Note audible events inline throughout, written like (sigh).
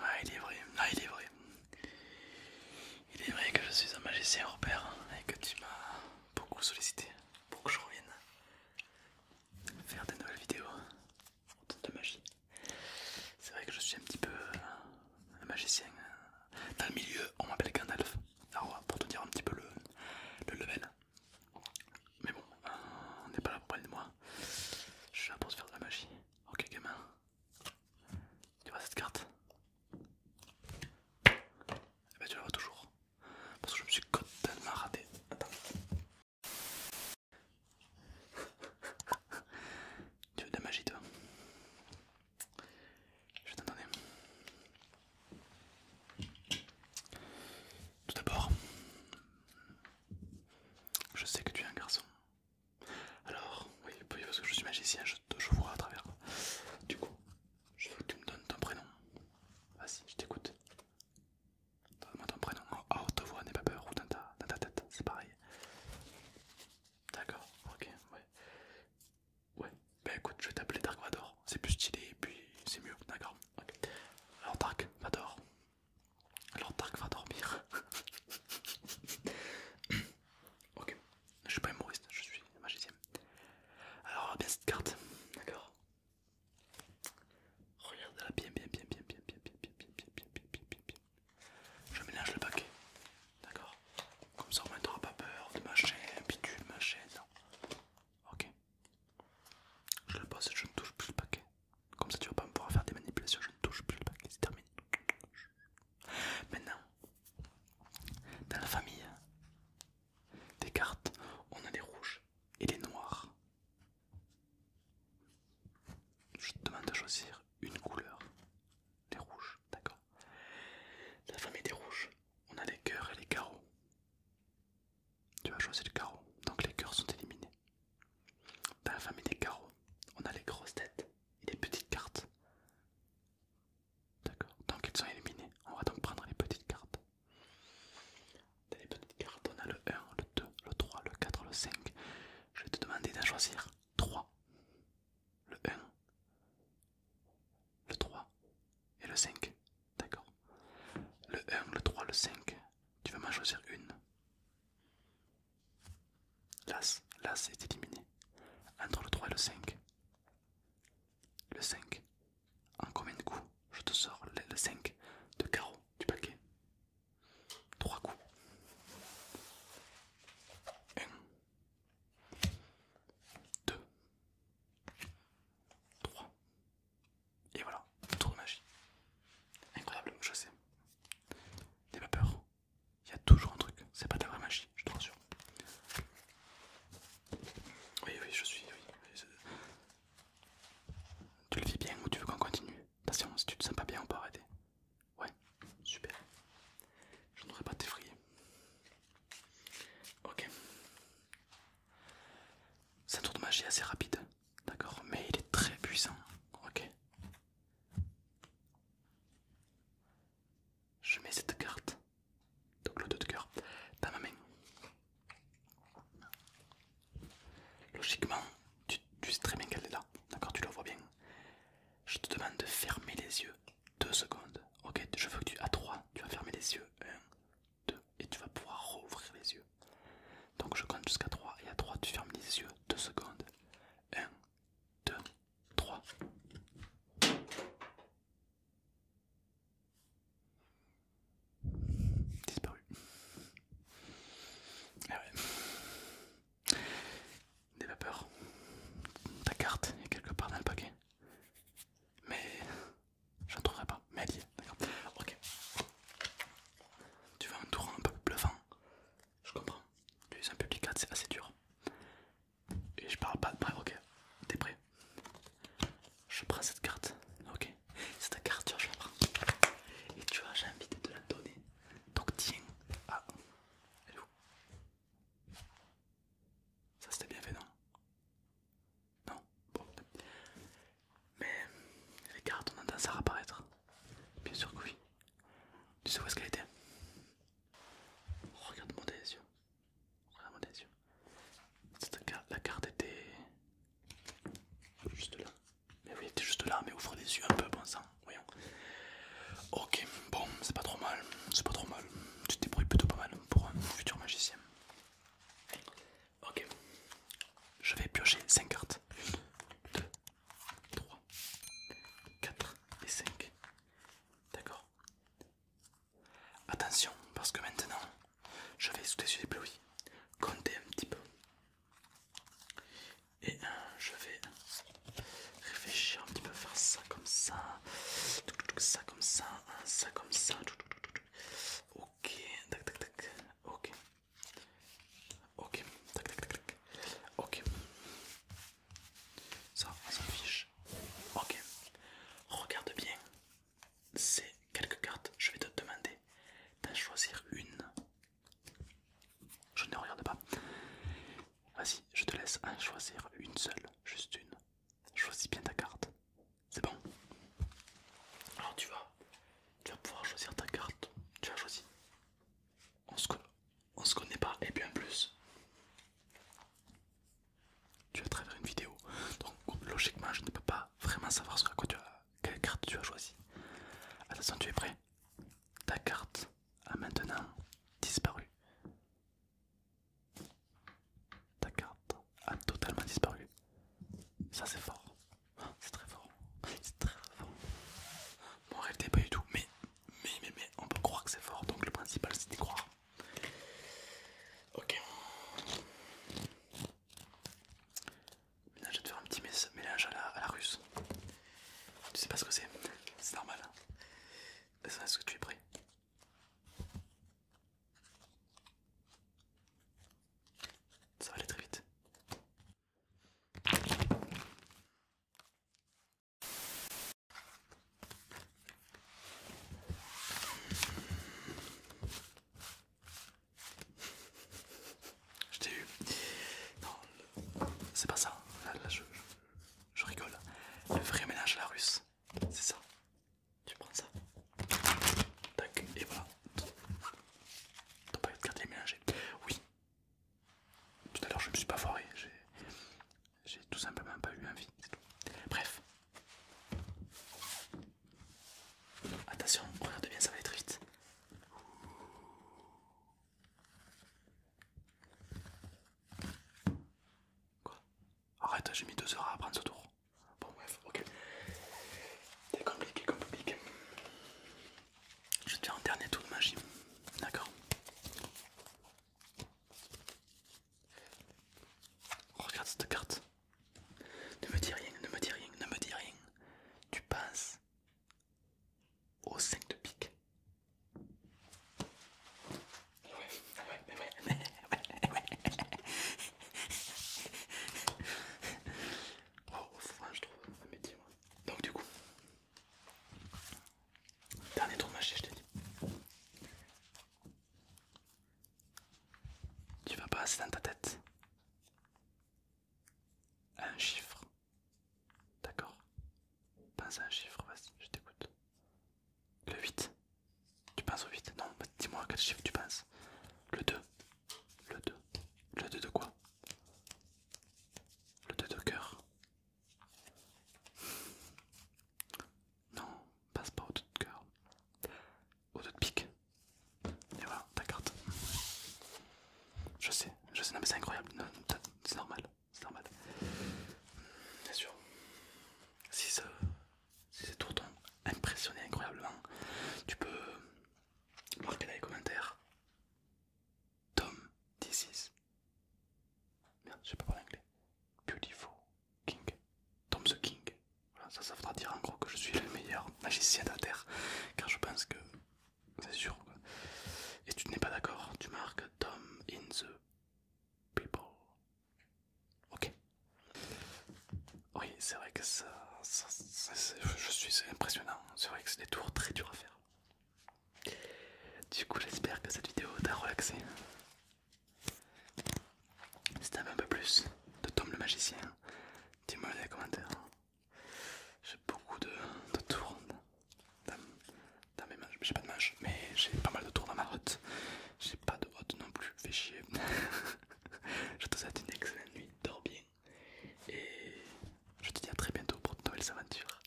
Ah, il est vrai, ah, il est vrai. Il est vrai que je suis un magicien repère et que tu m'as beaucoup sollicité pour que je revienne faire des nouvelles vidéos de magie. C'est vrai que je suis un petit peu euh, un magicien. Euh, dans le milieu, on m'appelle Gandalf. Alors, pour te dire un petit peu le, le level. Mais bon, euh, on n'est pas là pour parler de moi. Je suis là pour faire de la magie. Ok gamin. Tu vois cette carte Eh ben tu la vois toujours. Parce que je me suis totalement raté. Attends. tu veux de la magie toi Je vais t'en Tout d'abord, je sais que tu es un garçon. Alors, oui, parce que je suis magicien, je, te vois à travers. Du coup, je veux que tu me donnes ton prénom. Vas-y, je t'écoute. Donne-moi ton prénom en oh, oh, te vois, n'aie pas peur, ou dans ta, tête, c'est pareil. D'accord, ok, ouais. Ouais, bah écoute, je vais t'appeler Dark Vador, c'est plus stylé et puis c'est mieux, d'accord alors Dark va dormir. ok, je suis pas humoriste, je suis magicien. Alors bien cette carte, d'accord. Regarde la bien, bien, bien, bien, bien, bien, bien, bien, bien, bien, Je mélange le paquet, d'accord. Comme ça, on ne pas peur de machin, bien, ma non. Ok. Je le pose, je ne touche plus le paquet. Comme ça, tu vas pas me pouvoir faire des manipulations. Je ne touche plus le paquet, c'est terminé. Maintenant, dans la famille des cartes, on a les rouges et les noirs. Je te demande de choisir une couleur. Les rouges, d'accord. Dans la famille des rouges, on a les cœurs et les carreaux. Tu vas choisir le carreau, donc les cœurs sont éliminés. Dans la famille des carreaux, on a les grosses têtes et les petites cartes. D'accord, donc ils sont éliminés. On va donc prendre les petites cartes. Dans les petites cartes, on a le 1, le 2, le 3, le 4, le 5. Je vais te demander d'en choisir 3. Le 1, le 3, et le 5. D'accord. Le 1, le 3, le 5. Tu veux m'en choisir une. L'As. L'As est éliminé. Entre le 3 et le 5. Le 5. En combien de coups je te sors le 5 de carreau du paquet 3 coups. 1. 2. 3. Et voilà, tour de magie. Incroyable, je sais. N'aie pas peur. Il y a toujours un truc. C'est pas de vraie magie, je te rassure. Oui, oui, je suis. Oui, tu le vis bien ou tu veux qu'on continue Attention, si tu te sens pas bien, on peut arrêter. Ouais, super. Je ne voudrais pas t'effrayer. Ok. C'est un tour de magie assez rapide, d'accord, mais il est très puissant, ok. Je mets cette carte, donc le 2 de cœur, dans ma main. Logiquement, tu, sais très bien qu'elle est là, d'accord, tu la vois bien. Je te demande de fermer les yeux 2 secondes, ok, je veux que tu, à 3, tu vas fermer les yeux, 2 et tu vas pouvoir rouvrir les yeux. Donc je compte jusqu'à 3 et à 3 tu fermes les yeux 2 secondes. 1, 2, 3. Disparu. Ah Des vapeurs. Ta carte est quelque part dans le paquet. Mais J'en trouverai pas, mais elle est, d'accord. Ok. Tu vas un tour un peu bluffant Je comprends. Tu es un public c'est assez dur. Et je parle pas de ok. T'es prêt Je prends cette carte, ok. C'est ta carte, tu vois, je la prends. Et tu vois, j'ai envie de te la donner. Donc tiens. Ah, elle est où Ça c'était bien fait, non non Bon. Mais les cartes on tendance à réapparaître. Bien sûr que oui. Tu sais où est-ce qu'elle était regarde mon tes yeux. regarde mon la carte était juste là. Mais oui, était juste là, mais ouvre les yeux un peu, bon sang, voyons. Ok, bon, c'est pas trop mal, c'est pas trop mal. Tu te débrouilles plutôt pas mal pour un futur magicien. Ok, je vais piocher 5 cartes. 2, 3, 4 et 5. D'accord. Attention, parce que maintenant, je vais sous les yeux compter un petit peu. Et je vais réfléchir un petit peu, faire ça comme ça ça comme ça, hein, ça comme ça. Ok, tac tac tac, ok, ok, tac tac tac, ok. Ça, on s'en fiche. Ok, regarde bien ces quelques cartes. Je vais te demander d'en choisir une. Je ne regarde pas. Vas-y, je te laisse en choisir une seule, juste une. Choisis bien ta carte. C'est bon. Alors tu vas, tu vas pouvoir choisir ta carte. Tu as choisi. On se, connaît pas et bien plus. Tu as travers une vidéo. Donc logiquement je ne peux pas vraiment savoir ce quoi tu as, quelle carte tu as choisi. Attention tu es prêt Ta carte a maintenant disparu. Ta carte a totalement disparu. Ça c'est fort. C'est très fort. C'est très fort. Mon rêve t'es pas du tout. Mais, mais, mais, mais, on peut croire que c'est fort. Donc le principal c'est d'y croire. Ok. je vais te faire un petit mélange à la, à la russe. Tu sais pas ce que c'est. C'est normal. Hein. Est-ce que tu es prêt ça va aller très vite. Je t'ai eu. Non, c'est pas ça. Là, je rigole. Le vrai ménage à la russe. C'est ça. Tu prends ça. Tac, et voilà. pas eu de cartes est mélangé. Oui. Tout à l'heure, je me suis pas foiré. J'ai tout simplement pas eu envie. C'est tout. Bref. Attention, regarde bien, ça va aller très vite. Quoi Arrête, j'ai mis deux heures à apprendre ce tour. Bon, bref, ok. T'es compliqué comme public. Je te fais un dernier tour de magie. D'accord Regarde cette carte. Ne me dis rien, ne me dis rien, ne me dis rien. Tu passes au 5 de pique. Ouais, ouais, oh, je Donc, du coup, dernier tour je t'ai dit. Tu vas passer dans ta tête un chiffre. D'accord Pense à un chiffre, vas-y, je t'écoute. Le 8. Tu penses au 8 Non, bah, dis-moi à quel chiffre tu penses. Le 2. Le 2. Le 2 de quoi Le 2 de cœur. Non, passe pas au 2 de cœur. Au 2 de pique. Et voilà, ta carte. Je sais, je sais, non mais c'est incroyable, c'est normal c'est normal. Bien sûr. Si ça si ces impressionné incroyablement, tu peux marquer dans les commentaires Tom this is Merde, je sais pas parler anglais. Beautiful King. Tom the King. Voilà, ça, ça voudra dire en gros que je suis le meilleur magicien de la Terre. Car je pense que c'est sûr. Et tu n'es pas d'accord, tu marques Tom in the people. Ok. Oui, c'est vrai que ça, c'est je suis impressionnant. C'est vrai que c'est des tours très durs à faire. Du coup, j'espère que cette vidéo t'a relaxé. Si t'as un peu plus de Tom le magicien, dis-moi dans les commentaires. J'ai beaucoup de, de tours dans, mes manches. J'ai pas de manches, mais j'ai pas mal de tours dans ma hotte. J'ai pas de hotte non plus, fais chier. (laughs) je te souhaite une excellente nuit, dors bien. Et je te dis à très bientôt pour de nouvelles aventures.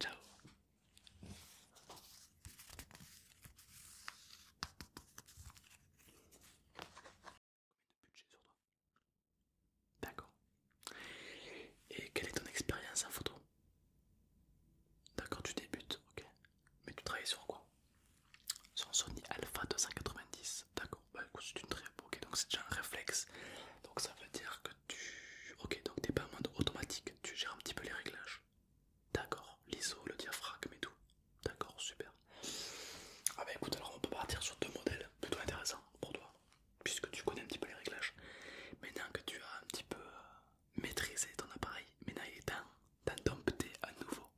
Ciao D'accord. Et quelle est ton expérience en photo D'accord, tu débutes, ok. Mais tu travailles sur quoi Sur un Sony Alpha 290. D'accord, bah c'est une très ok, donc c'est déjà un réflexe. Donc ça veut dire que tu. Ok, donc t'es pas en mode automatique, tu gères un petit peu les réglages. D'accord, l'ISO, le diaphragme et tout. D'accord, super. Ah bah écoute, alors on peut partir sur deux modèles plutôt intéressants pour toi puisque tu connais un petit peu les réglages, maintenant que tu as un petit peu euh, maîtrisé ton appareil, maintenant il est temps d'en à nouveau.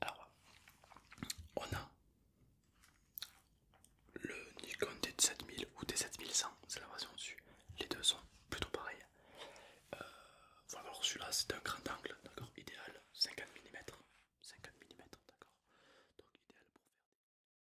Alors, on a le Nikon D7000 ou D7100, c'est la version dessus, les deux sont plutôt pareils. Euh, voilà, alors celui-là c'est un grand angle, d'accord, idéal, 50 mm, 50 mm, d'accord, donc idéal faire.